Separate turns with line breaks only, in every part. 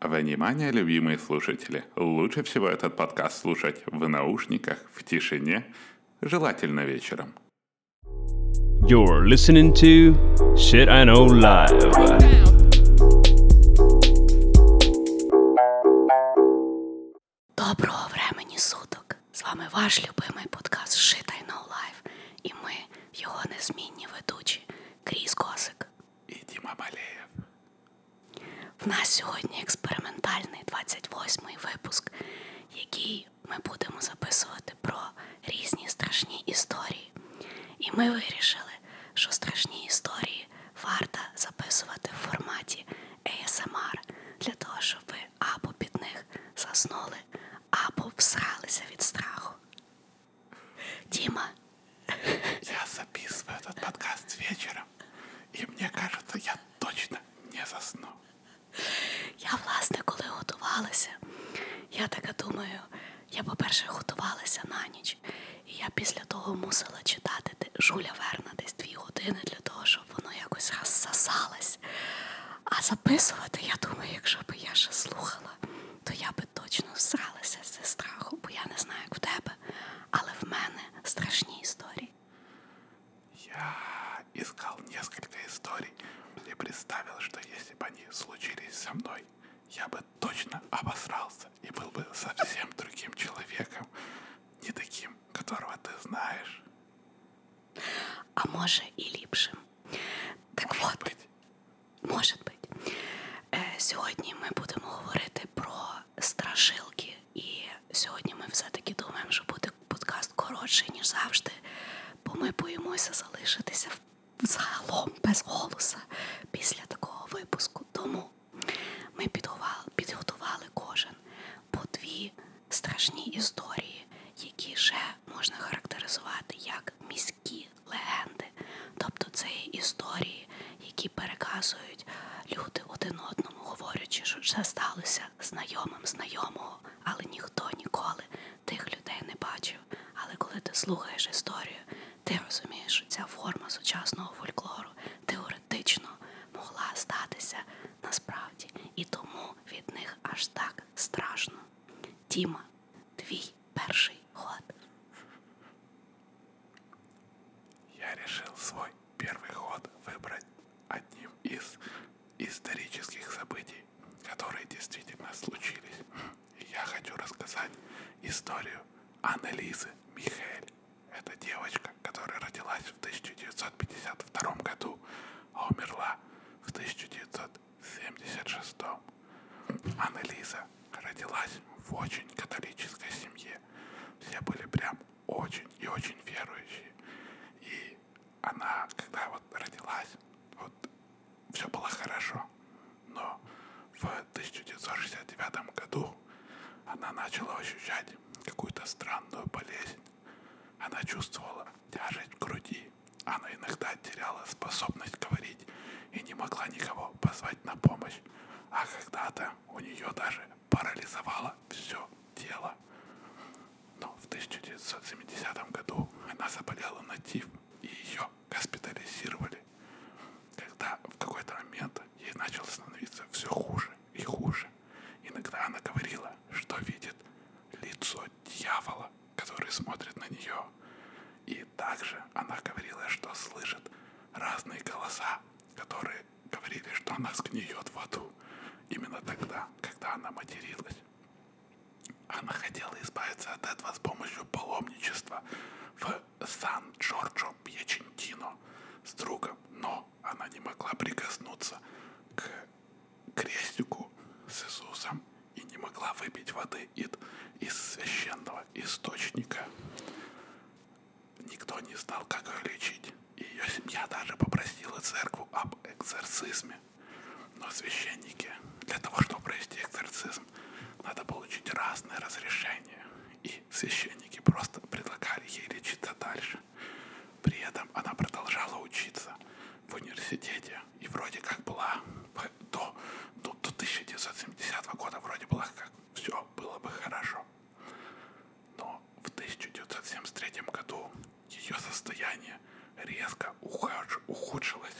Внимание, любимые слушатели! Лучше всего этот подкаст слушать в наушниках, в тишине, желательно вечером. You're listening to Shit I Know Live.
Доброго времени суток! З вами ваш любимий подкаст Shit I Know Live. І ми, його незмінні ведучі, Кріс Косик і Діма Малеєв. В нас сьогодні експериментальний 28-й випуск, який ми будемо записувати про різні страшні історії. І ми вирішили, що страшні історії варто записувати в форматі ASMR для того, щоб ви або під них заснули, або всралися від страху.
Дима. Я записываю этот подкаст вечером, и мне кажется, я точно не засну. Я,
власне, коли готувалася, я така думаю, я, по-перше, готувалася на ніч, і я після того мусила читати Жуля Верна десь дві години для того, щоб воно якось розсосалось. А записувати, я думаю, якщо б я ще слухала, то я б би точно всралася зі страху, бо я не знаю, як в тебе,
але в мене страшні історії. Я искал несколько историй и представил, что если бы они случились со мной, я бы точно обосрался и был бы совсем другим человеком, не таким, которого ты знаешь. А може і ліпшим.
Так Может от, быть. Може бути. Э, сьогодні ми будемо говорити про страшилки, і сьогодні ми все-таки думаємо, що буде подкаст коротший, ніж завжди, бо ми боїмося залишитися загалом без голоса після такого випуску. Тому ми підготували кожен по дві страшні історії, які ще можна характеризувати як міські легенди, тобто це є історії, які переказують люди один одному, говорячи, що це сталося знайомим знайомого, але ніхто ніколи тих людей не бачив. Але коли ти слухаєш історію, ти розумієш, що ця форма сучасного фольклору теоретично могла статися насправді, і тому від них аж так страшно. Тіма, твій Мій перший ход.
Я решил свой первый ход выбрать одним из исторических событий, которые действительно случились. Я хочу рассказать историю Аннелизы Михаэль. Это девочка, которая родилась в 1952 году, а умерла в 1976 году. Анна-Лиза родилась в очень католической семье. Все были прям очень и очень верующие. И она, когда вот родилась, вот все было хорошо. Но в 1969 году она начала ощущать какую-то странную болезнь. Она чувствовала тяжесть в груди. Она иногда теряла способность говорить и не могла никого позвать на помощь работать. А когда-то у нее даже парализовало все тело. Но в 1970 году она заболела на тиф, и ее госпитализировали. Когда в какой-то момент ей начало становиться все хуже и хуже, иногда она говорила, что видит лицо дьявола, который смотрит на нее. И и также она говорила, что слышит разные голоса, которые говорили, что она сгниет в аду. Именно тогда, когда она материлась. Она хотела избавиться от этого с помощью паломничества в Сан-Джорджо Пьячентино с другом, но она не могла прикоснуться к крестику с Иисусом и не могла выпить воды Ид из священного источника. Никто не знал, как ее лечить. Ее семья даже попросила церковь об экзорцизме. Но священники, для того, чтобы провести экзорцизм, надо получить разные разрешения. И священники просто предлагали ей лечиться дальше. При этом она продолжала учиться в университете и вроде как была до, ну, до, до 1970 года вроде была как так все было бы хорошо. Но в 1973 году ее состояние резко ухудшилось.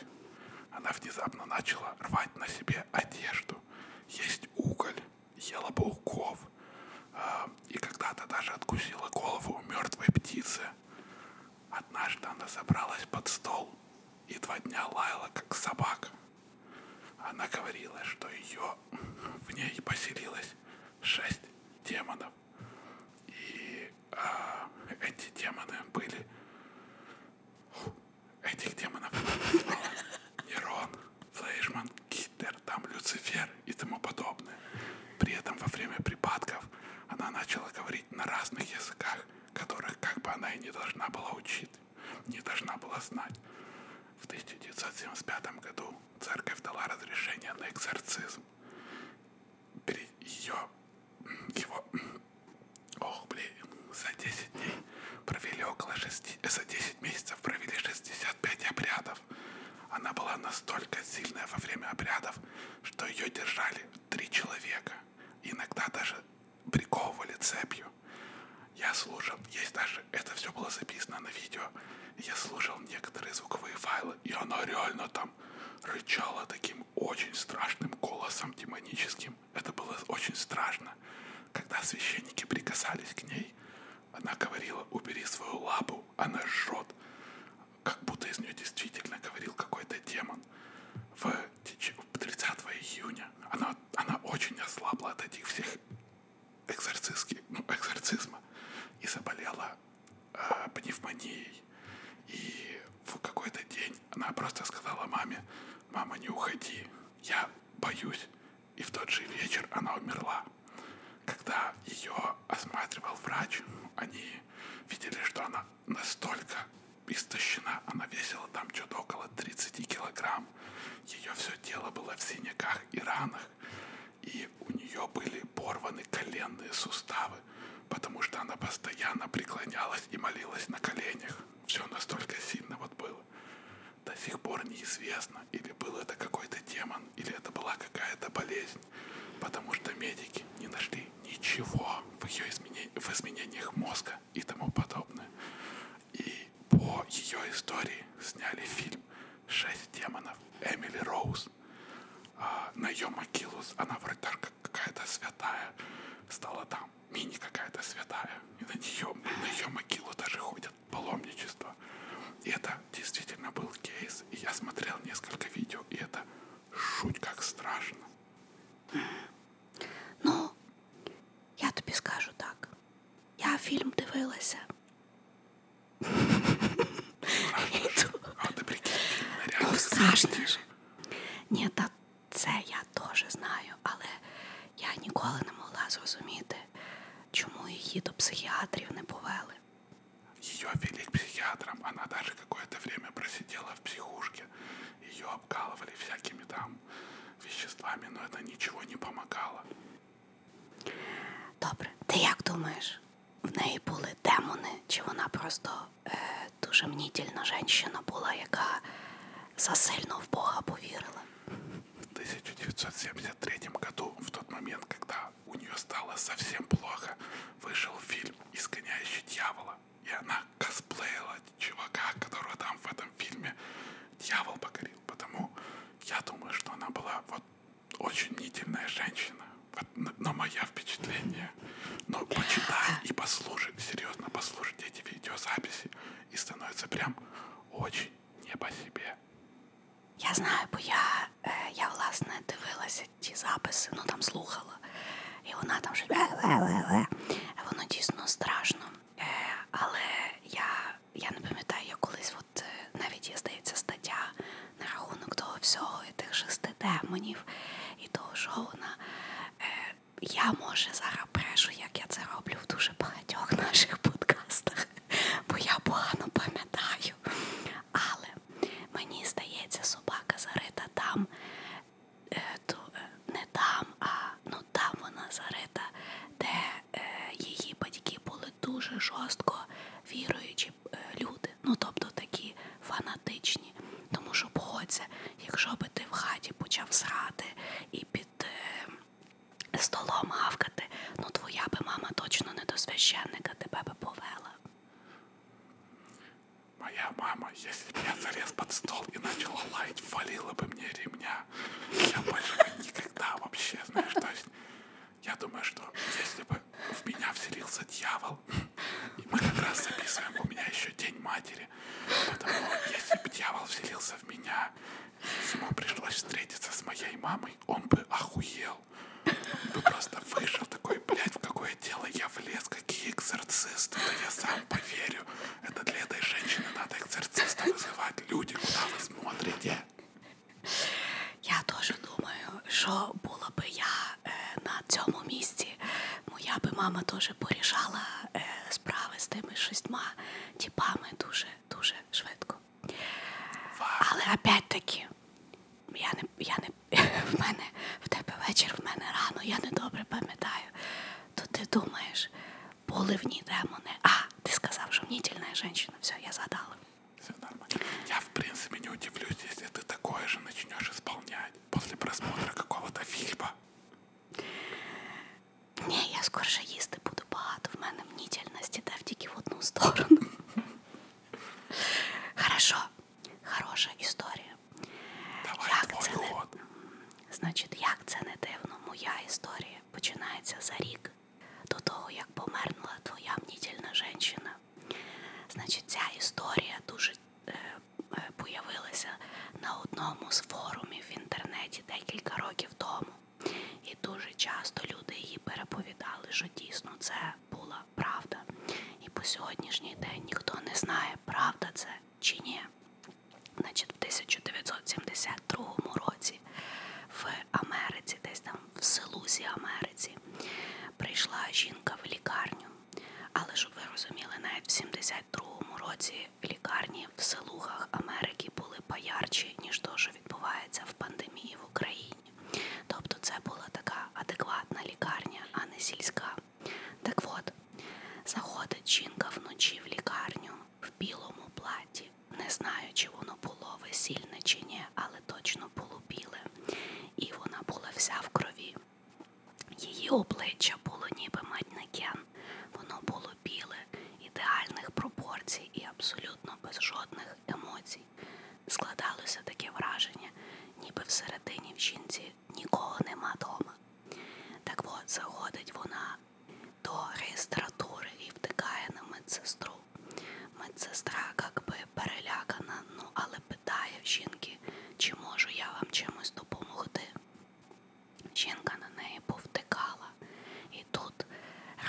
Она внезапно начала рвать на себе одежду, есть уголь, ела пауков, а, и когда-то даже откусила голову у мертвой птицы. Однажды она забралась под стол и два дня лаяла, как собака. Она говорила, что ее в ней поселилось шесть демонов. И а, эти демоны были... Этих демонов Нерон, Флейшман, Гитлер, там Люцифер и тому подобное. При этом во время припадков она начала говорить на разных языках, которых как бы она и не должна была учить не должна была знать. В 1975 году церковь дала разрешение на экзорцизм. Ее, его, ох, блин, за 10 дней провели около 6, э, за 10 месяцев провели 65 обрядов. Она была настолько сильная во время обрядов, что ее держали три человека, иногда даже приковывали цепью. Я слушал, есть даже, это все было записано на видео. Я слушал некоторые звуковые файлы, и оно реально там рычало таким очень страшным голосом демоническим. Это было очень страшно. Когда священники прикасались к ней, она говорила, убери свою лапу, она жжет. Как будто из нее действительно говорил какой-то демон. В 30 июня она она очень ослабла от этих всех экзорцистских, ну, экзорцизма и заболела э, пневмонией. И в какой-то день она просто сказала маме, мама, не уходи, я боюсь. И в тот же вечер она умерла. Когда ее осматривал врач, они видели, что она настолько истощена. Она весила там что-то около 30 килограмм. Ее все тело было в синяках и ранах. И у нее были порваны коленные суставы, потому что она постоянно преклонялась и молилась на коленях. Все настолько сильно вот было. До сих пор неизвестно, или был это какой-то демон, или это была какая-то болезнь, потому что медики не нашли ничего в ее измене... в изменениях мозга и тому подобное. И по ее истории сняли фильм «Шесть демонов» Эмили Роуз. А на ее могилу она вроде даже какая-то святая стала там, мини какая-то святая. И на нее, на ее могилу даже ходят паломничество. И это действительно был кейс. И я смотрел несколько видео, и это жуть как страшно. Ну, я тобі скажу так.
Я фільм дивилася. Ну, страшно ж. Ні, та це я теж знаю, але я ніколи не могла зрозуміти, чому її до психіатрів не повели.
Ее вели к психиатрам, она даже какое-то время просидела в психушке. Ее обкалывали всякими там веществами, но это нічого не помогало.
Добре, ти як думаєш, в неї були демони? Чи вона просто е, э, дуже мнітільна жінка була, яка
засильно в Бога повірила? В 1973 году, в тот момент, когда у нее стало совсем плохо, вышел фильм «Исконяющий дьявола» и она косплеила чувака, которого там в этом фильме дьявол покорил. Потому я думаю, что она была вот очень мнительная женщина. Вот, на, на мое впечатление. Но почитай и послушай, серьезно послушайте эти видеозаписи, и становится прям очень не по себе.
Я знаю, бо я э, я власне дивилася ті записи, ну там слухала. І вона там вже воно дійсно страшно. Е, але я я не пам'ятаю, я колись от, е, навіть є здається стаття на рахунок того всього і тих шести демонів і того жовна. Е, я може зараз брешу, як я це роблю в дуже багатьох наших подкастах, бо я погано пам'ятаю. Але мені здається, собака зарита там, Е, ту, е, не там, а ну там вона зарита, де е, її батьки були дуже жорстко віруючі е, люди, ну тобто такі фанатичні. Тому що погодься, якщо би ти в хаті почав срати і під е, столом гавкати, ну твоя би мама точно не до священника тебе би повела.
Моя мама є если бы я залез под стол и начал лаять, валила бы мне ремня. Я больше бы никогда вообще, знаешь, то есть я думаю, что если бы в меня вселился дьявол, и мы как раз записываем, у меня еще День Матери, потому если бы дьявол вселился в меня, если ему пришлось встретиться с моей мамой, он бы охуел. Он бы просто вышел такой, блядь, в какое дело я влез, какие экзорцисты, да я сам вам поверю. Это для этой женщины надо экзорциста вызывать. Люди, куда вы смотрите?
Я теж думаю, що була би я е, на цьому місці. Моя би мама теж порішала е, справи з тими шістьма тіпами дуже-дуже швидко. Фак. Але опять-таки, я не, я не, в мене в тебе вечір, в мене рано, я не добре пам'ятаю. То ти думаєш, поливні демони. А, ти сказав, що мнітельна женщина. Все, я задала. Все
нормально. Я, в принципе, не удивлюсь, если ты такое же начнешь исполнять после просмотра какого-то фильма.
Ні, я скорше їсти буду багато. В мене мнітельності дав тільки в одну сторону. Хорошо, хороша історія. Давай Як твой це не... Значить, як це не дивно, моя історія починається за рік до того, як померла твоя мнітільна жінка. Значить, ця історія дуже е, е, появилася на одному з форумів в інтернеті декілька років тому. І дуже часто люди її переповідали, що дійсно це була правда. І по сьогоднішній день ніхто не знає, правда це чи ні. Значить, в 1972 році в Америці, десь там в Селузі Америці, прийшла жінка в лікарню. Але щоб ви розуміли, навіть в 72-му році лікарні в селугах Америки були поярчі, ніж то, що відбувається в пандемії в Україні. Тобто це була така адекватна лікарня, а не сільська. Так от, світ. Заходить жінка вночі в лікарню в білому платі. Не знаю, чи воно було весільне чи ні, але точно було біле, і вона була вся в крові. Її обличчя було ніби манекен. Воно було біле, ідеальних пропорцій і абсолютно без жодних емоцій. Складалося таке враження, ніби всередині в жінці нікого нема дома. Так от заходить вона до реєстратури і втикає на медсестру. Медсестра как би перелякана, ну але питає в жінки, чи можу я вам чимось допомогти. Жінка на неї повтикала, і тут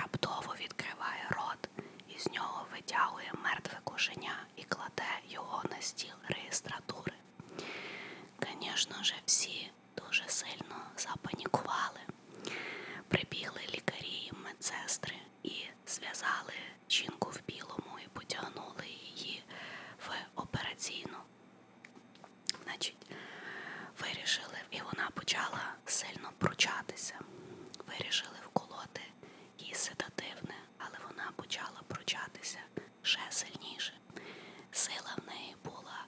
раптово відкриває рот, і з нього витягує мертве кошеня і кладе його на стіл реєстратури. Звісно ж, всі дуже сильно запанікували. Прибігли лікарі, медсестри і зв'язали жінку в білому і потягнули її в операційну. Значить, вирішили, і вона почала сильно пручатися. Вирішили вколоти їй седативне, але вона почала пручатися ще сильніше більше. Сила в неї була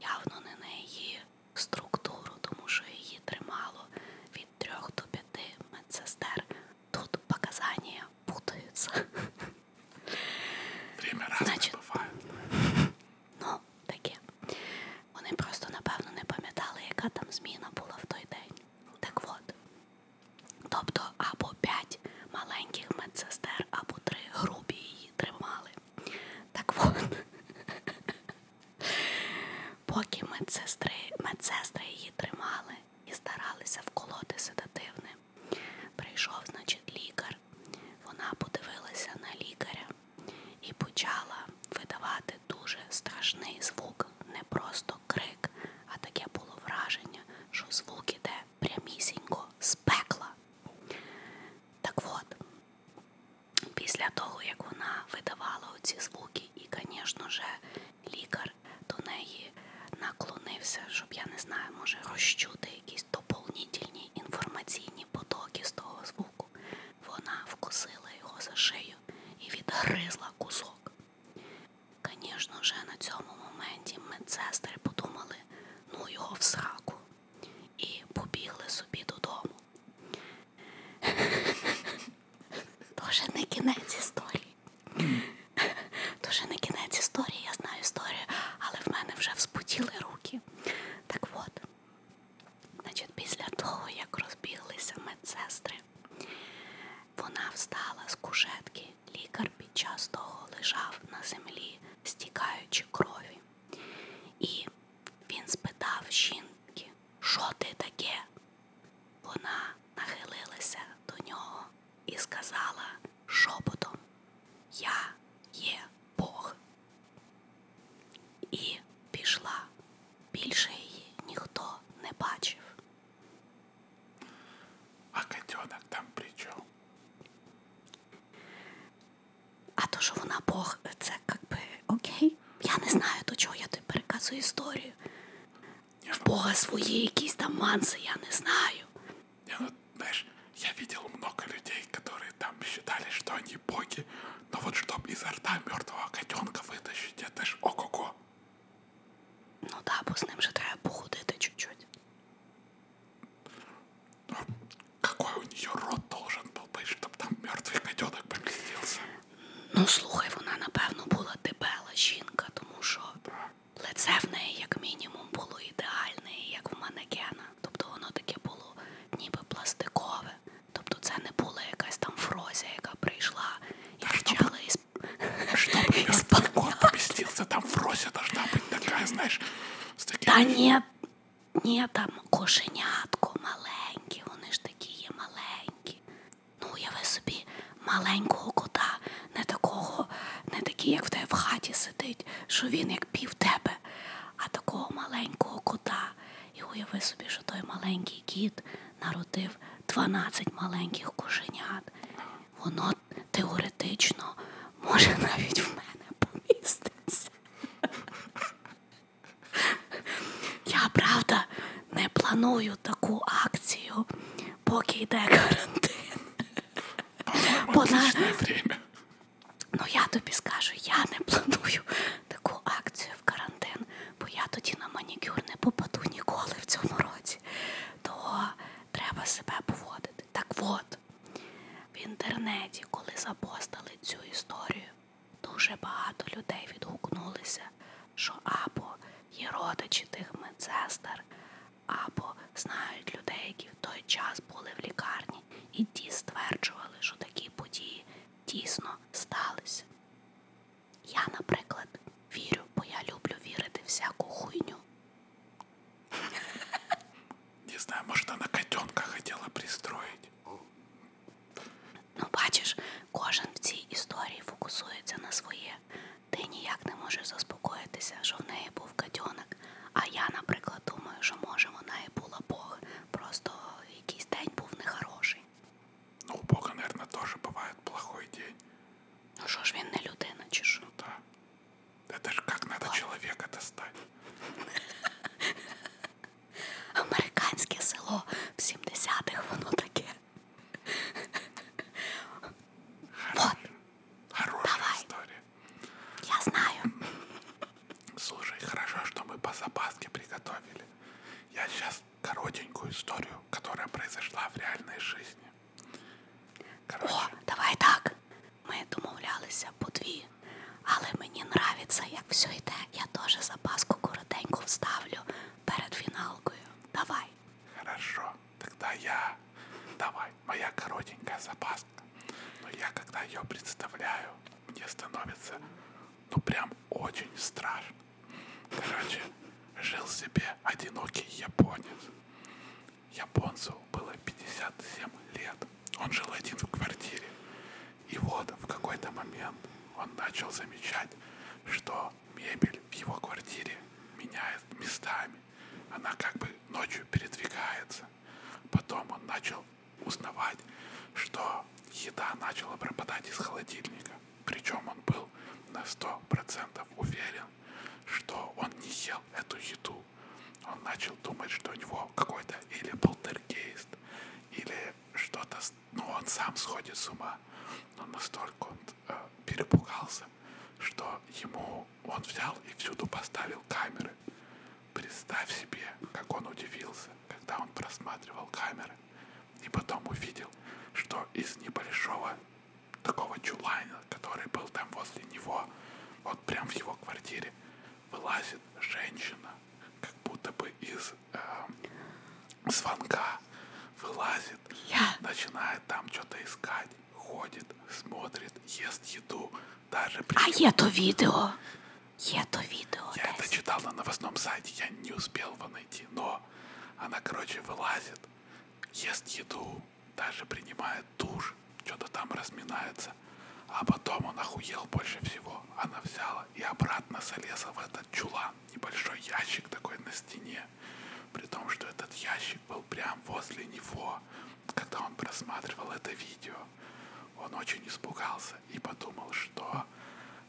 явно не на її структуру, тому що її тримало від трьох до п'яти медсестер. Тут показання путаються. Значить, ну, таке. Вони просто, напевно, не пам'ятали, яка там зміна була в той день. Так от. Тобто, або п'ять маленьких медсестер або три грубі її тримали. Так от, поки медсестри, медсестри її тримали і старалися вколоти седативне, прийшов, значить, лікар. Вона подивилася на лікаря і почала видавати дуже страшний звук, не просто крик, а таке було враження, що звук іде прямісінько з пекла. Так от, після того, як вона видавала оці звуки, і, звісно ж, лікар до неї наклонився, щоб я не знаю, може розчути якісь доповнительні інформаційні потоки з того звуку, вона вкусила його за шию і відгризла кусок. Звісно ж, на цьому моменті медсестри подумали, ну його в сраку, і побігли собі додому. Тоже не кінець історії. Дуже не кінець історії, я знаю історію, але в мене вже вспотіли руки. Так от, значить, після того, як розбіглися медсестри, вона встала з кушетки, лікар Мер під час того лежав на землі, стікаючи крові. І він спитав жінки, що ти таке? Вона нахилилася до нього і сказала шепотом Я є Бог. І пішла. Більше її ніхто не бачив. А котенок там при чому? А то, що вона Бог, це якби окей. Я не знаю, до чого я тобі переказую історію.
Я в Бога свої якісь там манси, я не знаю. Я вот, знаешь, я видел много людей, которые там считали, что они боги, но вот чтоб изо рта мертвого котенка вытащить, это ж ого-го. Ну да, бо з ним же треба походити чуть-чуть. Какой у нее рот должен был быть, щоб там мертвий гаденок помістився? Ну, слухай, вона, напевно,
була дебела жінка, тому що да. лице в неї, як мінімум, було ідеальне, як в манекена. Тобто воно таке було ніби пластикове. Тобто це не була якась там фрозя, яка прийшла і да, почала ісп... Щоб мертвий
кот помістився, там фрозя должна бути така, знаєш... З таким...
Та ні, ні, там кошенятко маленькі, вони ж такі є маленькі. Ну, уяви собі маленького кота, не такого, не такий, як в тебе в хаті сидить, що він як пів тебе, а такого маленького кота. І уяви собі, що той маленький кіт народив 12 маленьких кошенят. Воно воно теоретично може навіть в мене поміститься. Я правда не планую таку акцію, поки йде карантин. Вона... Ну я тобі скажу, я не планую таку акцію в карантин, бо я тоді на манікюр не попаду ніколи в цьому році. То треба себе поводити. Так от, в інтернеті, коли запостили цю історію, дуже багато людей відгукнулися, що або є родичі тих медсестер, або знають людей, які в той час були в лікарні, і ті стверджували, що такі події дійсно сталися. Я, наприклад, вірю, бо я люблю вірити всяку хуйню. Не знаю, может, она котенка хотіла пристроїти. Ну, бачиш, кожен в цій історії фокусується на своє. Ти ніяк не можеш заспокоїтися, що в неї був котенок. А я, наприклад, думаю, що може вона і була Бог. Просто якийсь день був нехороший.
Ну, у Бога, мабуть, теж буває плохой день. Ну що ж він не людина, чи що? Ну, так. Это же как надо человека достать.
Американське село в 70-х, воно таке.
Вот. Хорошая Давай. история. Я знаю. Слушай, хорошо, что мы по запаске приготовили. Я сейчас коротенькую историю, которая произошла в реальной жизни. Короче, О, давай так. Ми домовлялися по дві. Але
мені нравиться, як все йде. Я теж запаску коротеньку вставлю перед
фіналкою. Давай. Хорошо, тогда я. Давай, моя коротенькая запаска. Но я когда ее представляю, мне становится ну прям очень страшно. Короче, жил себе одинокий японец. Японцу было 57 лет. Он жил один в квартире. И вот в какой-то момент он начал замечать, что мебель в его квартире меняет местами. Она как бы ночью передвигается. Потом он начал узнавать, что еда начала пропадать из холодильника. Причем он был на 100% уверен, что он не ел эту еду году он начал думать, что у него какой-то или полтергейст, или что-то, ну он сам сходит с ума. Но настолько он э, перепугался, что ему он взял и всюду поставил камеры. Представь себе, как он удивился, когда он просматривал камеры и потом увидел, что из небольшого такого чулайна который был там возле него, вот прям в его квартире, вылазит женщина, как будто бы из э, звонка вылазит, yeah. начинает там что-то искать, ходит, смотрит, ест еду, даже...
При... А я то
видео. Я то видео. Я это читал на новостном сайте, я не успел его найти, но она, короче, вылазит, ест еду, даже принимает душ, что-то там разминается. А потом он охуел больше всего. Она взяла и обратно залезла в этот чулан, небольшой ящик такой на стене. При том, что этот ящик был прям возле него, когда он просматривал это видео. Он очень испугался и подумал, что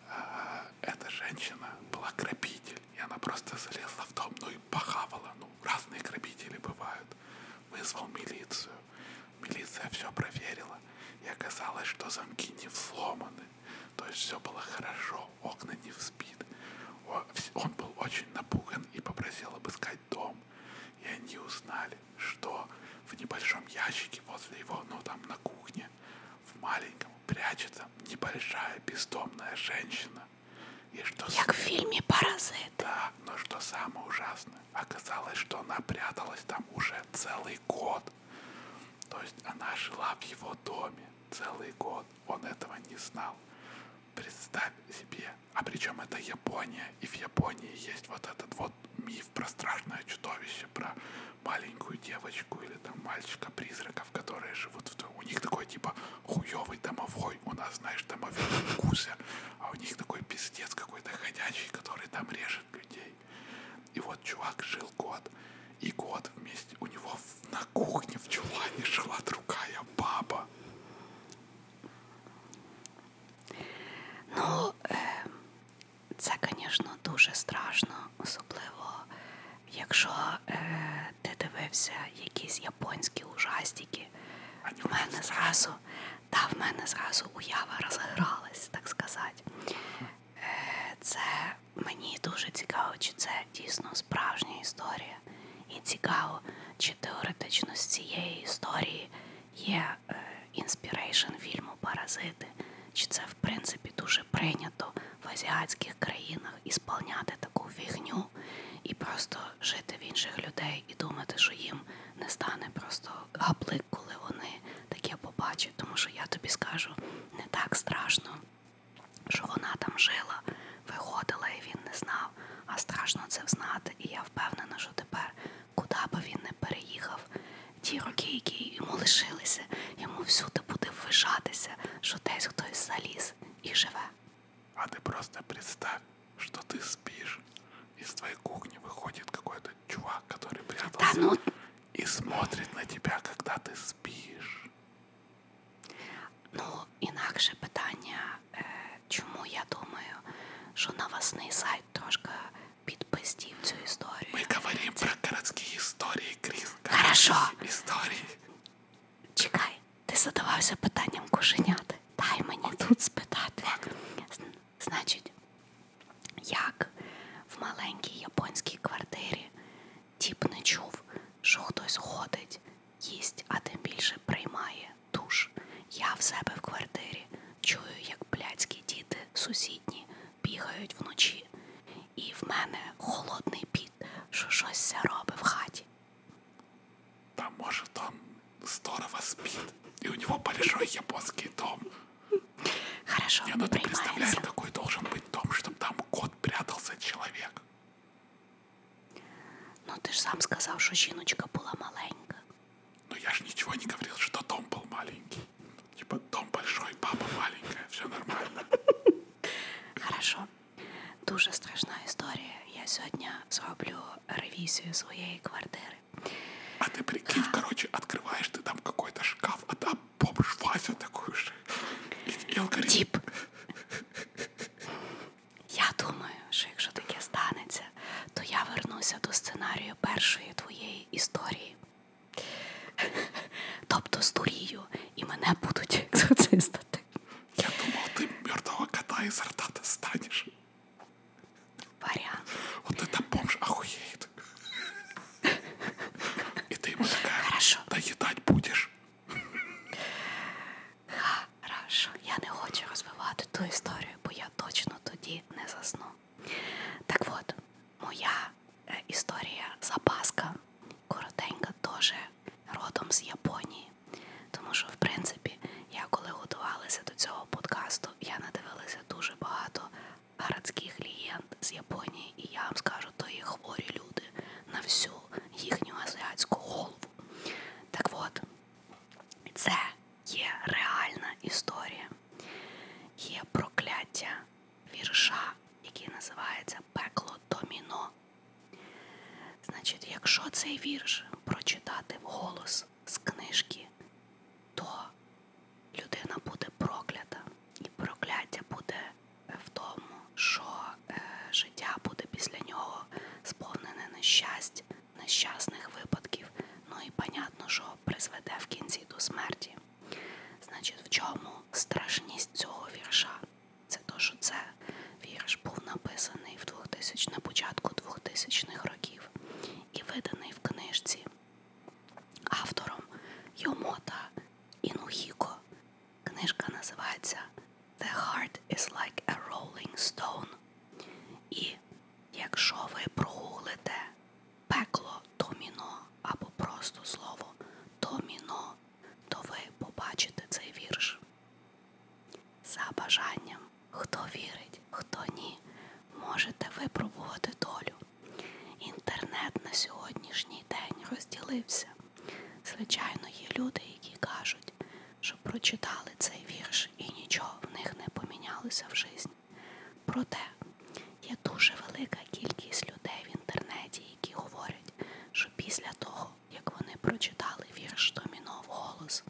э, эта женщина была грабитель, и она просто залезла в дом, ну и похавала. Ну, разные грабители бывают. Вызвал милицию. Милиция все проверила, и оказалось, что замки не взломаны. То есть все было хорошо, окна не взбиты. Он был очень напуган и попросил обыскать дом. И они узнали, что в небольшом ящике возле его, ну там на кухне, в маленьком прячется небольшая бездомная женщина. И что Як с... в фильме «Паразит». Да, но что самое ужасное, Оказалось, что она пряталась там уже целый год. То есть она жила в его доме целый год. Он этого не знал. Представь себе. А причем это Япония. И в Японии есть вот этот вот миф про страшное чудовище, про маленькую девочку или там мальчика-призраков, которые живут в... У них такой типа хуёвый домовой такой, у нас, знаешь, домовенок Кузя, а у них такой пиздец какой-то ходячий, который там режет людей. И вот чувак жил год, и год вместе у него на кухне в чулане жила другая баба. Ну,
це, звісно, дуже страшно, особливо, якщо е, ти дивився якісь японські ужасні пластики. У мене зразу та в мене зразу уява розгралась, так сказати. Е, це мені дуже цікаво, чи це дійсно справжня історія. І цікаво, чи теоретично з цієї історії є е, інспірейшн фільму Паразити, чи це в принципі дуже прийнято в азіатських країнах ісполняти таку фігню і просто жити в інших людей людей і думати, що їм не стане просто гаплик, коли вони таке побачать. Тому що я тобі скажу, не так страшно, що вона там жила, виходила і він не знав. А страшно це взнати. І я впевнена, що тепер, куди би він не переїхав, ті роки, які йому лишилися, йому всюди буде ввижатися, що десь хтось заліз і живе. А ты просто представь, что ты спишь,
из твоей кухни выходит какой-то чувак, который прятался да, ну... и смотрит на тебя, когда ты спишь.
Ну, інакше питання, е, э, чому я думаю, що новостний сайт трошки підпиздів цю історію. Ми говоримо Це... про городські історії, Кріс. Хорошо. Історії. Чекай, ти задавався питанням кошенят дай мені тут спитати. Значить, як в маленькій японській квартирі тіп не чув, що хтось ходить, їсть, а тим більше приймає душ. Я в себе в квартирі чую, як блядські діти сусідні бігають вночі, і в мене холодний піт, що щось робить в
хаті. Да может он здорово спит, и у него большой японский дом. Хорошо, Не, ну ты представляешь, какой должен быть дом, чтобы там кот прятался человек. Ну ты ж сам сказал, что жіночка была маленька. Ну я ж ничего не говорил, что дом был маленький. Типа дом большой, папа маленькая, все нормально. Хорошо.
Дуже страшна історія. Я сьогодні зроблю ревізію своєї
квартири. А ти прикинь, коротше, відкриваєш ти там какой-то шкаф, а там бомж Вася такой же. І, і алгоритм. Тіп.
Я думаю, що якщо таке станеться, то я вернуся до сценарію першої твоєї історії. Тобто здурію, і мене
будуть екзорцистати. Я думав, ти мертвого кота із рта достанеш. Вариант. Вот это бомж охуеет. И ты ему такая, Хорошо. доедать будешь.
Хорошо. Я не хочу розвивати ту історію, бо я точно тоді не засну. Так от, моя е, історія запаска коротенька, теж родом з Японії. Тому що, в принципі, я коли готувалася до цього подкасту, я надивилася дуже багато городських легенд з Японії, і я вам скажу, то є хворі люди на всю їхню азіатську голову. Так от, це є реальна історія, є прокляття вірша, який називається Пекло Доміно. Значить, якщо цей вірш прочитати вголос, з книжки, то людина буде проклята, і прокляття буде е, в тому, що е, життя буде після нього сповнене нещасть, нещасних випадків. Ну і понятно, що призведе в кінці до смерті. Значить, в чому страшність цього вірша? Це то, що це вірш був написаний в 2000, на початку 2000-х років років і виданий в книжці автором Йомота Інухіко. Книжка називається The Heart is Like a Rolling Stone. І якщо ви прогуглите пекло доміно або просто слово доміно, то ви побачите цей вірш. За бажанням, хто вірить, хто ні, можете випробувати долю. Інтернет на сьогоднішній день розділився. Звичайно, є люди, які кажуть, що прочитали цей вірш і нічого в них не помінялося в житті. Проте є дуже велика кількість людей в інтернеті, які говорять, що після того, як вони прочитали вірш домінов голос,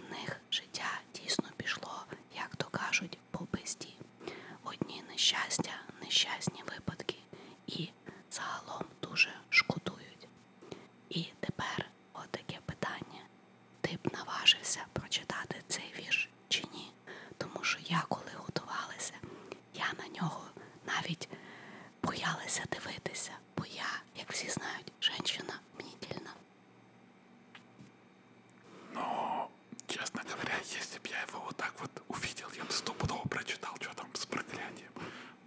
в них них життя дійсно пішло, як то кажуть, по безді. Одні нещастя, нещасні випадки і загалом дуже шкодують. І тепер отаке питання: ти б наважився прочитати цей вірш чи ні? Тому що я коли готувалася, я на нього навіть боялася дивитися, бо я, як всі знають, жінка
мнітільна. Но, честно говоря, если бы я его вот так вот увидел, я бы стопудово прочитал, что там с проклятием.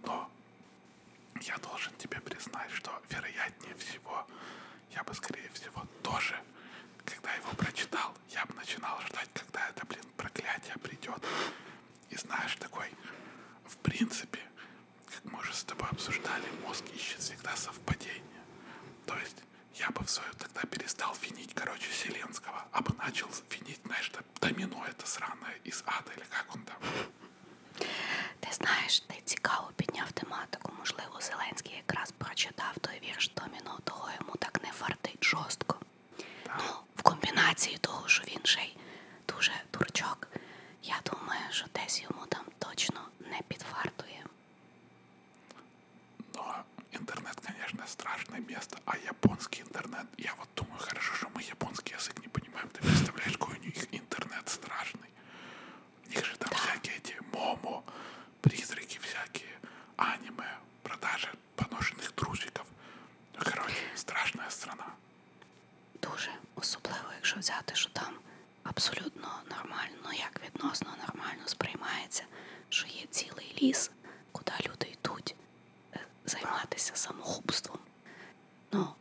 Но я должен тебе признать, что вероятнее всего, я бы, скорее всего, тоже, когда его прочитал, я бы начинал ждать, когда это, блин, проклятие придет. И знаешь, такой, в принципе, Как мы уже с тобой обсуждали, мозг ищет всегда совпадение. То есть я бы в свою тогда перестал винить, короче, Селенского, а бы начал винить, знаешь, домино это сраное из ада, или как он там. Ти знаєш, ти цікаво підняв
тематику. Можливо, Зеленський якраз прочитав той вірш Доміно, того йому так не фартить жорстко. Да. Ну, в комбінації того, що він ще й дуже дурчок, я думаю, що десь йому там точно не підвартує.
Ну, интернет, конечно, страшное место, а японский интернет, я вот думаю, хорошо, что мы японский язык не понимаем, ты представляешь, какой у них интернет страшный. У них же там да. всякие эти момо, призраки всякие, аниме, продажи поношенных трусиков. Ну, короче, страшная страна.
Дуже, особливо, якщо взяти, що там абсолютно нормально, ну як відносно нормально сприймається, що є цілий ліс, куди люди йдуть е, займатися самогубством. Ну,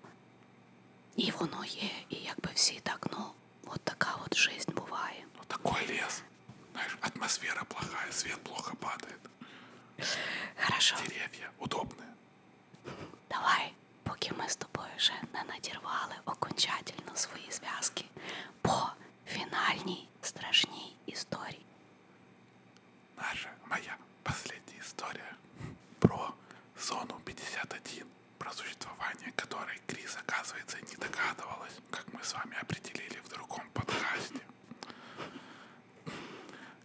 і воно є, і якби всі так, ну, от така от жизнь буває. Ну, такой ліс.
Знаєш, атмосфера плохая, свет плохо падает. Хорошо. Деревья удобные. Давай, поки ми з тобою вже не надірвали
окончательно свої зв'язки по фінальній страшній
історії. Наша моя последняя история про зону 51, про существование которой Крис, оказывается, не догадывалась, как мы с вами определили в другом подкасте.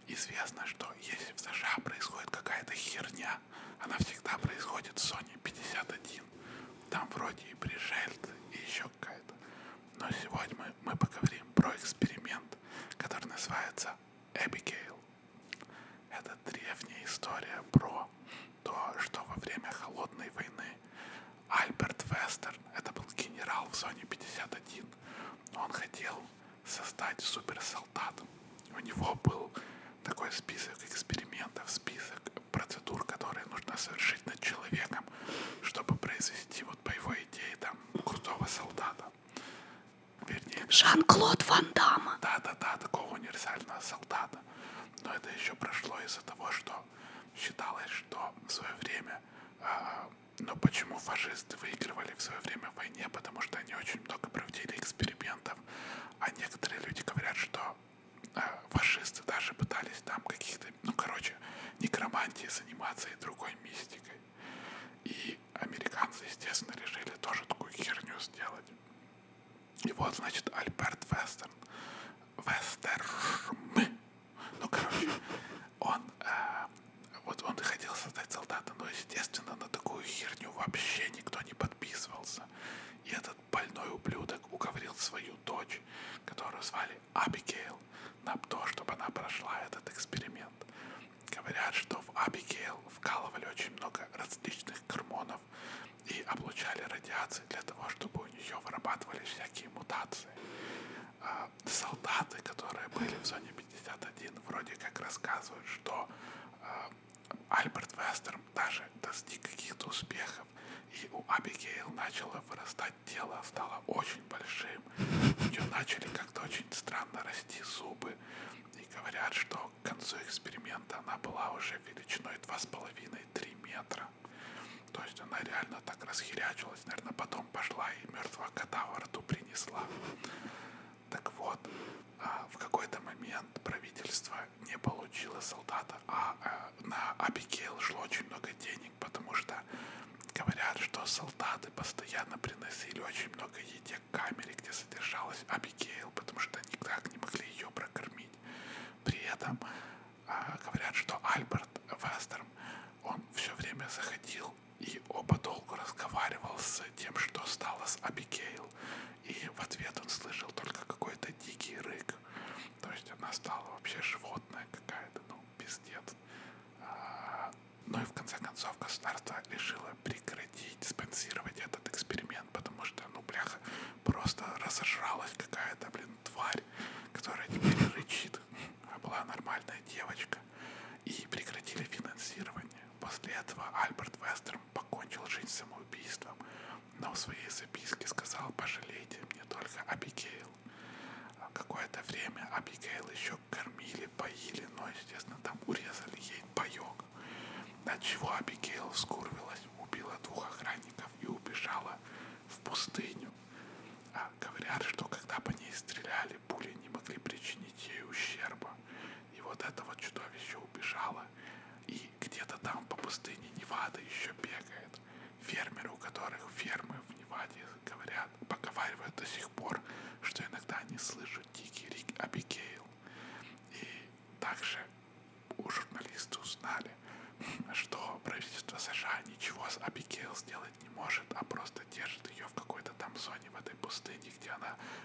Известно, что если в США происходит какая-то херня, она всегда происходит в Sony 51. Там вроде и пришельцы, и еще какая-то. Но сегодня мы, мы поговорим про эксперимент, который называется Эбигейл. Это древняя история про то, что во время Холодной войны Альберт Вестерн, это был генерал в зоне 51, но он хотел создать суперсолдат, у него был такой список экспериментов, список процедур, которые нужно совершить над человеком, чтобы произвести вот по его идее там крутого солдата. Вернее, Жан-Клод Ван Дамма. Да-да-да, такого универсального солдата. Но это еще прошло из-за того, что считалось, что в свое время э, а, но ну, почему фашисты выигрывали в свое время в войне? Потому что они очень много проводили экспериментов а некоторые люди говорят, что э, фашисты даже пытались там каких-то, ну, короче, некромантией заниматься и другой мистикой. И американцы, естественно, решили тоже такую херню сделать. И вот, значит, Альберт Вестерн, Вестерн, ну, короче, он, э, вот он хотел создать солдата, но, естественно, на такую херню вообще никто не подписывался. И этот больной ублюдок уговорил свою дочь, которую звали Абигейл, на то, чтобы она прошла этот эксперимент. Говорят, что в Абигейл вкалывали очень много различных гормонов и облучали радиации для того, чтобы у нее вырабатывались всякие мутации. А солдаты, которые были в зоне 51, вроде как рассказывают, что а, Альберт Вестерн даже достиг каких-то успехов, и у Абигейл начало вырастать тело, стало очень большим. У нее начали как-то очень странно расти зубы, и говорят, что к концу эксперимента она была уже величиной 2,5-3 метра. То есть она реально так расхерячилась, наверное, потом пошла и мертвого кота во рту принесла. Так вот, а, в какой-то момент правительство не получило солдата, а, а на Абигейл шло очень много денег, потому что говорят, что солдаты постоянно приносили очень много еде к камере, где содержалась Абигейл, потому что никак не могли ее прокормить. При этом а, говорят, что Альберт Вестерн, он все время заходил и оба долгу разговаривал с тем, что стало с Абигейл спросил. И в ответ он слышал только какой-то дикий рык. То есть она стала вообще животное какая-то, ну, пиздец. А, ну и в конце концов государство решило прекратить спонсировать этот эксперимент, потому что, ну, бляха, просто разожралась какая-то, блин, тварь, которая теперь рычит. А была нормальная девочка. И прекратили финансирование. После этого Альберт Вестерм покончил жизнь самоубийством, но в своей записке сказал «пожалейте мне только Абигейл». А какое-то время Абигейл еще кормили, поили, но, естественно, там урезали ей паек. От чего Абигейл скурвилась, убила двух охранников и убежала в пустыню. А говорят, что когда по ней стреляли, пули не могли причинить ей ущерба. И вот это вот чудовище убежало. И где-то там по пустыне Невада еще бегает. Фермеры, у которых фермы в Неваде говорят, поговаривают до сих пор, что иногда они слышат дикий рик Абигейл. И также у журналисты узнали, что правительство США ничего с Абигейл сделать не может, а просто держит ее в какой-то там зоне в этой пустыне, где она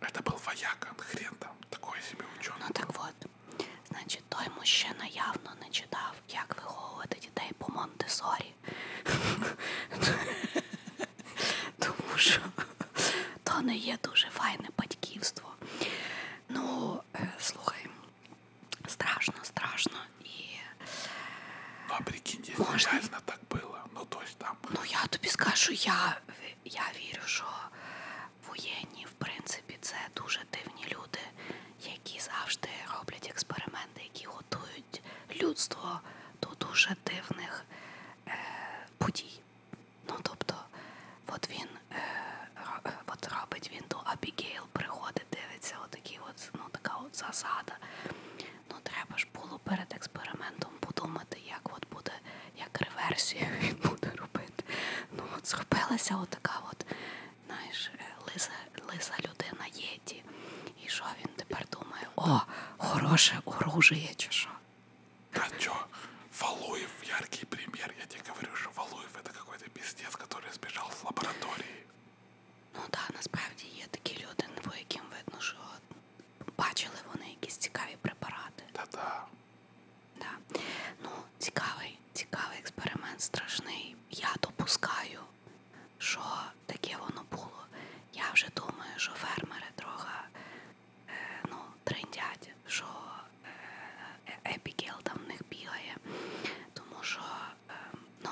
Это был вояка, хрен там, такой собі
учений. Ну так от. Значить, той мужчина явно не читав, як виховувати дітей по Монтесорі. Тому що то не є дуже файне батьківство. Ну, э, слухай, страшно, страшно і. Ну, а прикинь, реально так було. Ну, то есть там. Ну я тобі скажу, я э, я вірю, що воєнні, в принципі, це дуже дивні люди, які завжди роблять експерименти, які готують людство до дуже дивних е, подій. Ну, тобто, от він е, от робить він до Абігейл, приходить, дивиться, отакі от, ну, така от засада. Ну, треба ж було перед експериментом подумати, як от буде як реверсію він буде робити. Ну от схопилася отака от, знаєш, лиса, лиса людина єді. І що він тепер думає? О, хороше оружие чи що?
Чо? Валуев, яркий пример. Я тебе говорю, що Валуев это какой-то пиздец, который сбежал з лабораторії. Ну так, да, насправді є такі люди, по яким видно, що бачили
вони якісь цікаві препарати. Та-та. Да. Ну, цікавий, цікавий експеримент, страшний. Я допускаю, що таке воно було. Я вже думаю, що фермери трохи е, ну, триндять, що е, е, епігел там в них бігає, тому що е, ну,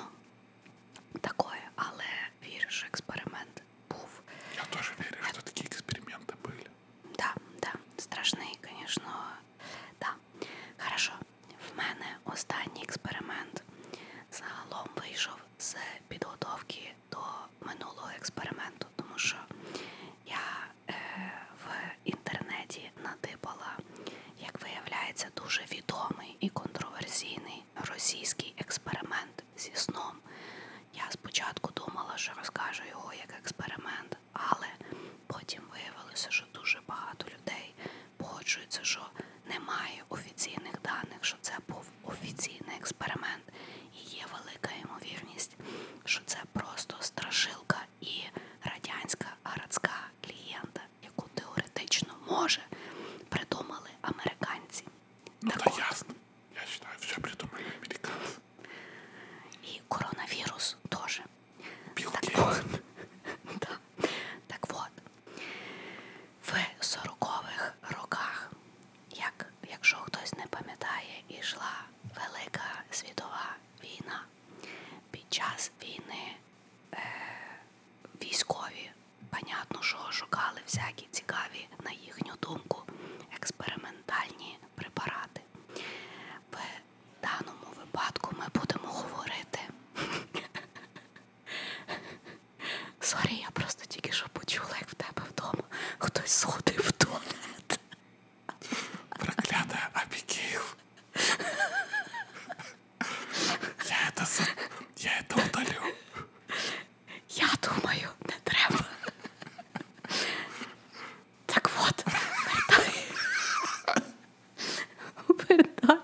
такое, але вірю, що експеримент був. Я тоже верю, что такие эксперименты были. Да, да, страшний, звісно. Да. Хорошо. В мене останній експеримент загалом вийшов з підготовки до минулого експерименту, тому що я е, в інтернеті натипала, як виявляється, дуже відомий і контроверсійний російський експеримент зі сном. Я спочатку думала, що розкажу його як експеримент, але потім виявилося, що дуже багато людей погоджуються, що немає офіційних даних, що це був офіційний експеримент, і є велика ймовірність, що це просто страшилка і радянська городська клієнта, яку теоретично може придумали американці. Ну, так, та ясно. Я считаю, все придумали американцы. И коронавирус тоже. Билл так вот. да. Так от, в 40-х роках, як, якщо хтось не пам'ятає, ішла Велика світова війна. Під час війни е, військові, понятно, що шукали всякі цікаві, на їхню думку, експерименти експериментальні препарати. В даному випадку ми будемо говорити. Сорі, я просто тільки що почула, як в тебе вдома хтось сходив в туалет. Проклята Абігейл. Я это, я это удалю. Я думаю, не треба. Так от, вертай. Вертай.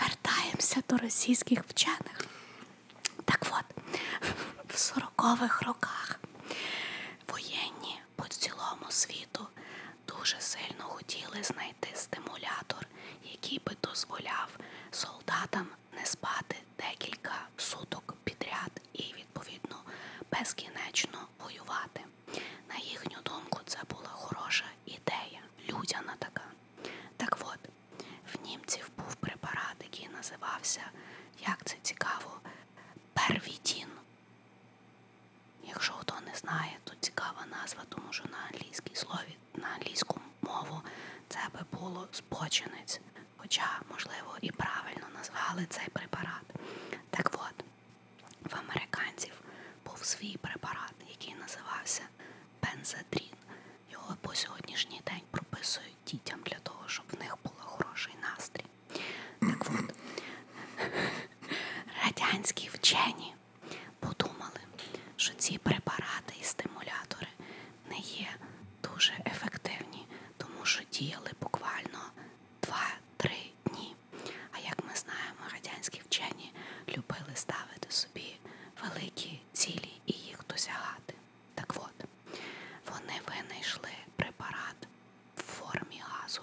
вертаємося до російських вчених. Так от, в 40-х роках воєнні по цілому світу дуже сильно хотіли знайти стимулятор, який би дозволяв солдатам не спати декілька суток підряд і, відповідно, безкінечно воювати. На їхню думку, це була хороша ідея, людяна така. Так от, в німців був препарат, який називався, як це цікаво, первідін. Якщо хто не знає, то цікава назва, тому що на англійській слові, на англійську мову це би було збочинець хоча, можливо, і правильно назвали цей препарат. Так от, в американців був свій препарат, який називався бензодрін. Його по сьогоднішній день прописують дітям для того, щоб в них був хороший настрій. Так от, радянські вчені подумали, що ці препарати і стимулятори не є дуже ефективні, тому що діяли буквально 2-3 дні. А як ми знаємо, радянські вчені любили ставити собі великі цілі і їх досягати. Так от, вони винайшли препарат в формі газу,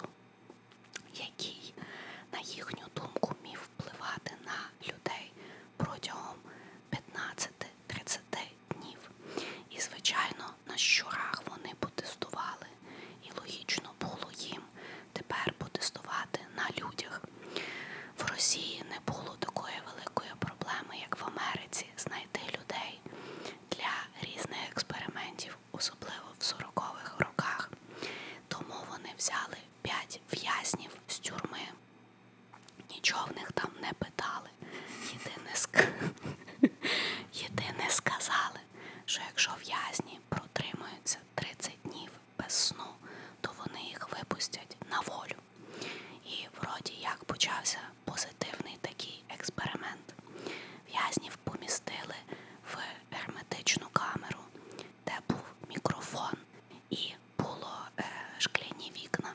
який, на їхню думку, міг впливати на людей протягом 15-30 днів. І, звичайно, на щурах вони потестували. І логічно було їм тепер потестувати на людях. В Росії не було такої великої проблеми, як в Америці, знайти людей для різних експериментів, особливо в 40-х роках. Тому вони взяли 5 в'язнів з тюрми. Нічого в них там не питали. Єдине, ск... Єдине сказали, що якщо в'язні протримуються 30 днів без сну, то вони їх випустять на волю. І вроді як почався позитивний такий експеримент. В'язнів помістили в герметичну камеру, де був мікрофон і було е, шкляні вікна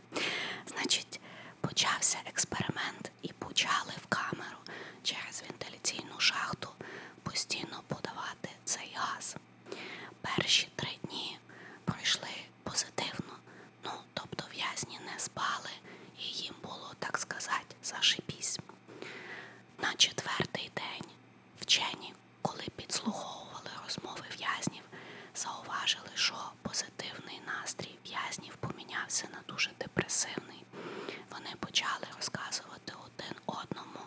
Значить, почався експеримент і почали в камеру через вентиляційну шахту постійно подавати цей газ. Перші три дні пройшли позитивно, ну тобто в'язні не спали, і їм було, так сказати, зашибісь. На четвертий день вчені, коли підслуховували розмови в'язнів, зауважили, що позитивний настрій в'язнів помінявся на дуже депресивний. Вони почали розказувати один одному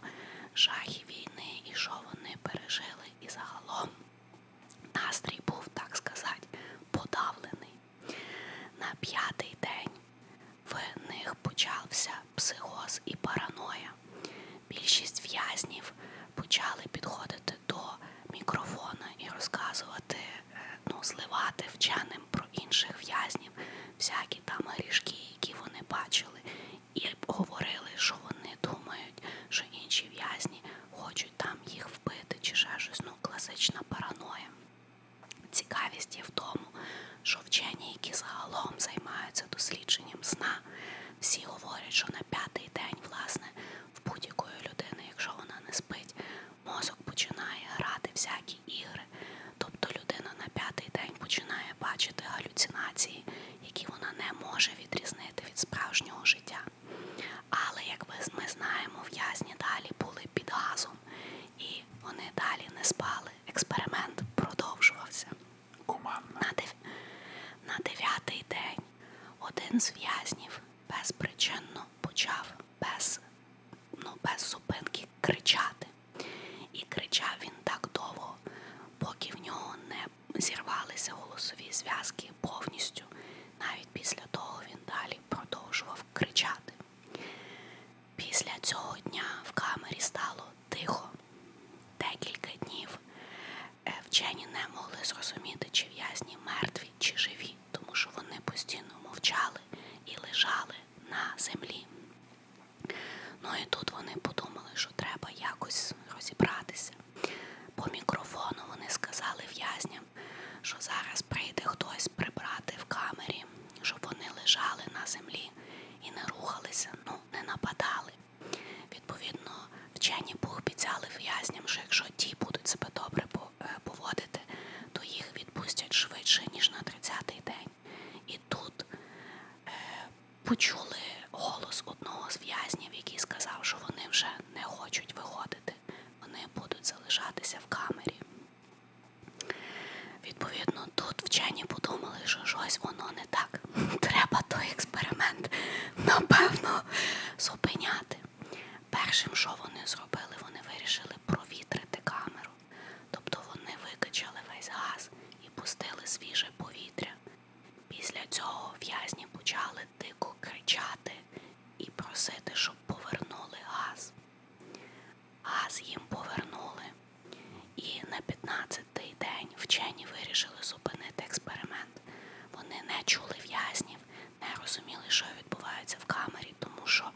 жахи війни і що вони пережили. І загалом настрій був, так сказати, подавлений. На п'ятий день в них почався психоз і параноя. Більшість в'язнів почали підходити підходити до мікрофона і розказувати, е, ну, зливати вченим про інших в'язнів, всякі там грішки, які вони бачили, і говорили, що вони думають, що інші в'язні хочуть там їх вбити, чи ще щось. Ну, класична параноя. Цікавість є в тому, що вчені, які загалом займаються дослідженням сна, всі говорять, що на п'ятий день, власне, в будь-якої людини, якщо вона не спить, мозок починає грати всякі ігри. Тобто людина на п'ятий день починає бачити галюцинації, які вона не може відрізнити від справжнього життя. Але, як ми знаємо, в'язні далі були під газом, і вони далі не спали. Експеримент продовжувався. На, дев... на дев'ятий день один з в'язнів безпричинно почав без ну, без зупинки кричати. І кричав він так довго, поки в нього не зірвалися голосові зв'язки повністю. Навіть після того він далі продовжував кричати. Після цього дня в камері стало тихо. Декілька днів е, вчені не могли зрозуміти, чи в'язні мертві, чи живі землі, тому що вони постійно мовчали і лежали на землі. Ну і тут вони подумали, що треба якось розібратися. По мікрофону вони сказали в'язням, що зараз прийде хтось прибрати в камері, щоб вони лежали на землі і не рухалися, ну не нападали. Відповідно, вчені пообіцяли в'язням, що якщо ті будуть себе добре е, поводити, то їх відпустять швидше, ніж на 30-й день. І тут е, почули голос одного з в'язнів, який сказав, що вони вже не хочуть виходити, вони будуть залишатися в камері. Відповідно, тут вчені подумали, що щось воно не так. Треба той експеримент, напевно, зупиняти. Першим, що вони зробили, вони вирішили провітрити камеру. Тобто вони викачали весь газ і пустили свіже повітря. Після цього в'язні почали дико кричати і просити, щоб повернули газ. Газ їм повернули. І на 15-й день вчені вирішили зупинити експеримент момент. Вони не чули в'язнів, не розуміли, що відбувається в камері, тому що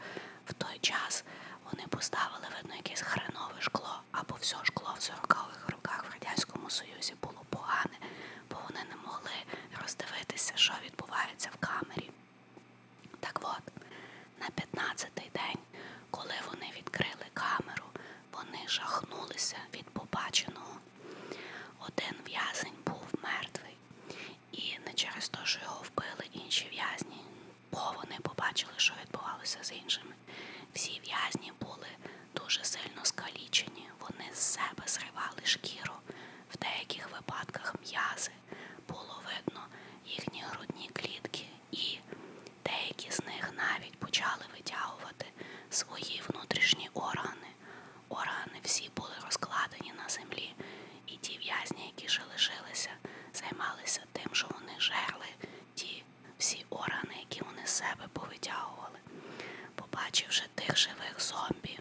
в той час вони поставили видно якесь хренове шкло, або все шкло в 40-х роках в Радянському Союзі було погане, бо вони не могли роздивитися, що відбувається в камері. Так от, на 15-й день, коли вони відкрили камеру, вони жахнулися від побаченого. Один в'язень був мертвий, і не через те, що його вбили інші в'язні, бо вони побачили, що відбувалося з іншими. Всі в'язні були дуже сильно скалічені, вони з себе зривали шкіру. В деяких випадках м'язи було видно їхні грудні клітки, і деякі з них навіть почали витягувати свої внутрішні органи. Органи всі були розкладені на землі, і ті в'язні, які ще лишилися, займалися тим, що вони жерли ті всі органи, які вони з себе повитягували. Побачивши тих живих зомбі,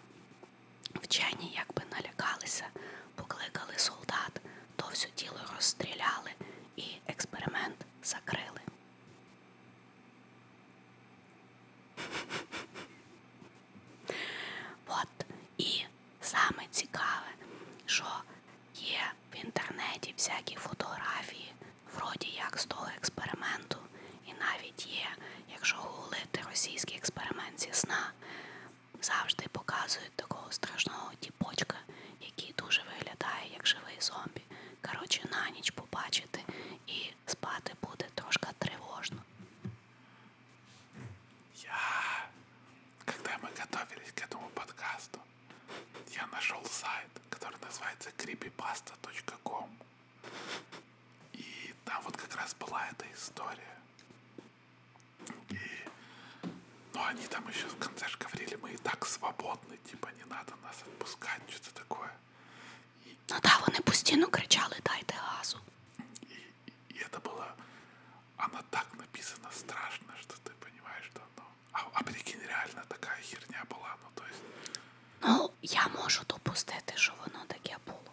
вчені якби налякалися, покликали солдат, то все тіло розстріляли і експеримент закрили. От. І саме цікаве, що є в інтернеті всякі фотографії, вроді як з того експерименту, і навіть є, якщо гуглити російський експеримент зі сна, завжди показують такого страшного тіпочка, який дуже виглядає як живий зомбі. Коротше, на ніч побачити і спати
буде трошки тревожно. Я, когда мы готовились к этому подкасту, я нашел сайт, который называется creepypasta.com. И там вот как раз была эта история. И... Ну, они там еще в конце же говорили, мы и так свободны, типа, не надо нас отпускать, что-то такое.
Ну так, вони постійно кричали Дайте газу. И, и это было... Она так написана страшно, что ты понимаешь, что оно... А, а прикинь,
реально такая херня была, ну то есть...
Ну, я можу допустити, що воно таке було.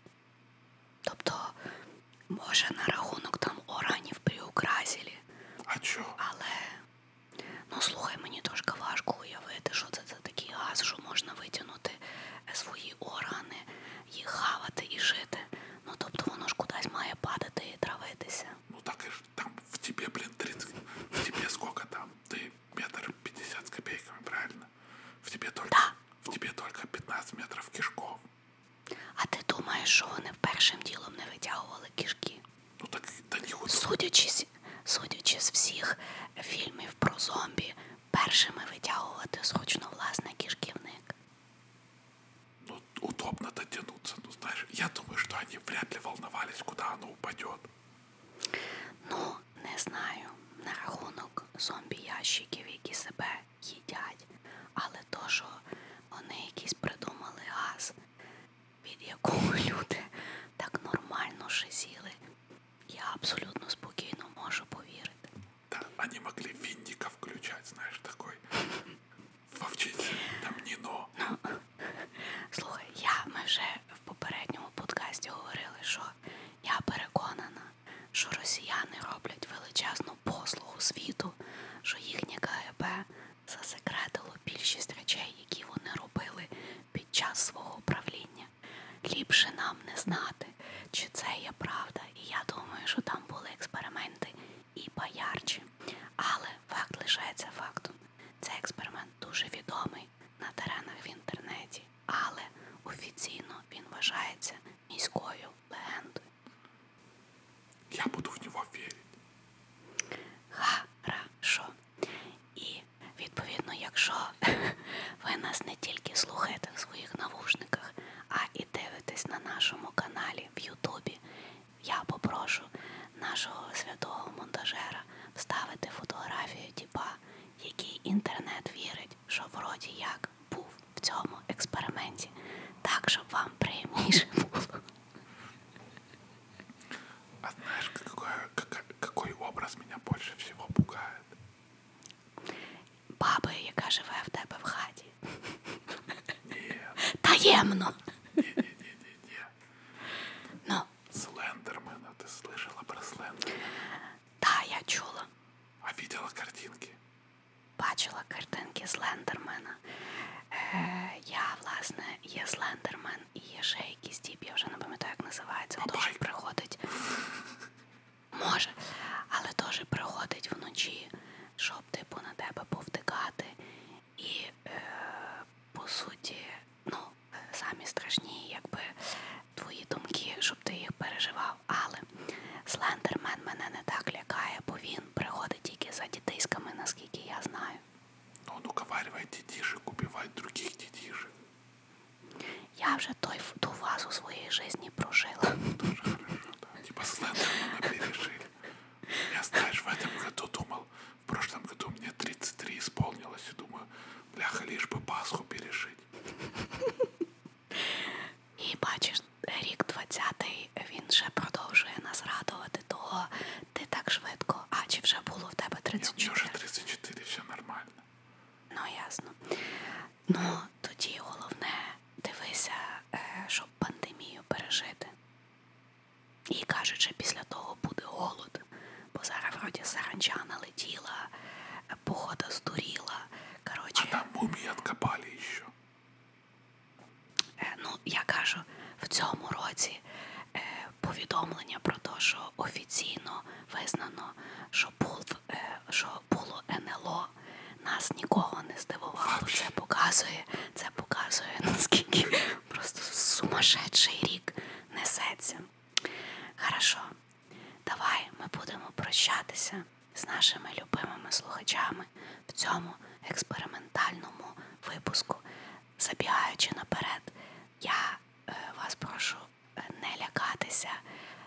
Тобто, може, на рахунок там оранів при украсілі. А чого? Але, ну слухай, мені трошки важко уявити, що це це такий газ, що можна витягнути е, свої органи, їх хавати і жити. Ну тобто воно ж кудись має падати і травитися. Ну так і
ж там в тебе, блін, 30, в тебе скільки там? Ти метр 50 з копійками, правильно? В тебе тільки, да. в тебе тільки 15 метрів кишков.
А ти думаєш, що вони першим ділом не витягували кишки? Ну так та ніхуя. Судячись, судячи з всіх фільмів про зомбі, першими витягувати
схочно власне кишківник. Ну, удобно дотянуться. Ну, знаешь, я думаю, что они вряд ли волновались, куда оно упадет. Ну,
не знаю. На рахунок зомбі-ящиків, які себе їдять, але то, що вони якісь придумали газ, від якого люди так нормально шизіли, я абсолютно спокійно
можу повірити. Да, они могли винника включать, знаешь, такой. Вовчить тамніну. Ну, слухай, я ми вже в попередньому
подкасті говорили, що я переконана, що росіяни роблять величезну послугу світу, що їхнє КГБ засекретило більшість речей, які вони робили під час свого правління ліпше нам не знати, чи це є правда. І я думаю, що там були експерименти і поярчі. Але факт лишається фактом. Цей експеримент дуже відомий на теренах в інтернеті, але офіційно він вважається міською легендою. Я буду в нього вірити. Хорошо. І відповідно, якщо ви нас не тільки слухаєте в своїх навушниках, а і дивитесь на нашому каналі в Ютубі. Я попрошу нашого святого монтажера вставити фотографію тіпа, який інтернет вірить, що вроді як був в цьому експерименті, так щоб вам приємніше було. А знаешь, какой, какой образ меня больше всего пугает? баби, яка живе в тебе
в хаті. Таємно. Ну. Слендермена, ти слышала про Слендермена? Да, я чула. А видела картинки? Бачила картинки Слендермена.
Е, Я, власне, є Слендермен і є ще якийсь тіп, я вже не пам'ятаю, як називається. Тож приходить. Може, але теж приходить вночі, щоб типу на тебе повтикати. І е, по суті, ну, самі страшні, якби твої думки, щоб ти їх переживав. Але Слендермен мене не так лякає, бо він приходить тільки за дітейськами, наскільки я знаю.
Он ну, уговаривает ну, детишек убивать других детишек.
Я вже той, ту фазу своєї
житті прожила. Дуже хорошо, да. Типа Слендермана пережили. Я, знаешь, в этом году думал, в прошлом году мне 33 исполнилось, и думаю, бляха, лишь бы Пасху пережить. І бачиш,
рік 20-й, він ще продовжує нас радувати, того ти так швидко, а чи вже було в тебе 34? Ні, вже 34, все нормально. Ну, ясно. Ну тоді головне дивися, е, щоб пандемію пережити. І кажуть, що після того буде голод, бо зараз вроді саранча налетіла, е, погода здуріла. Короче, а там
мумії откопали ще.
Е, ну, я кажу, в цьому році повідомлення про те, що офіційно визнано, що був, що було НЛО. Нас нікого не здивувало. Це показує, це показує, наскільки просто сумасшедший рік несеться. Хорошо, давай ми будемо прощатися з нашими любимими слухачами в цьому експериментальному випуску. Забігаючи наперед, я е, вас прошу не лякатися.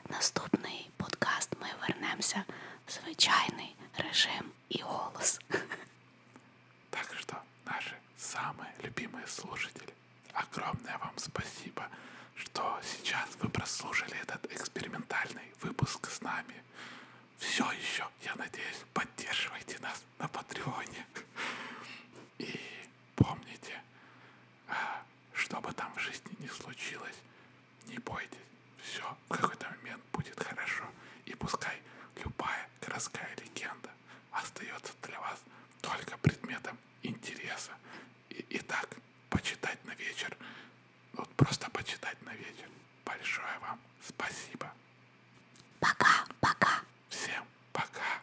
Наступний подкаст ми вернемося в
звичайний режим і голос. Так что, наши самые любимые слушатели, огромное вам спасибо, что сейчас вы прослушали этот экспериментальный выпуск с нами. Все еще, я надеюсь, поддерживайте нас на Патреоне. И помните, а, что бы там в жизни ни случилось, не бойтесь, все в какой-то момент будет хорошо. И пускай любая городская легенда остается для вас только предметом интереса. И, и так, почитать на вечер, вот просто почитать на вечер. Большое вам спасибо. Пока, пока. Всем пока.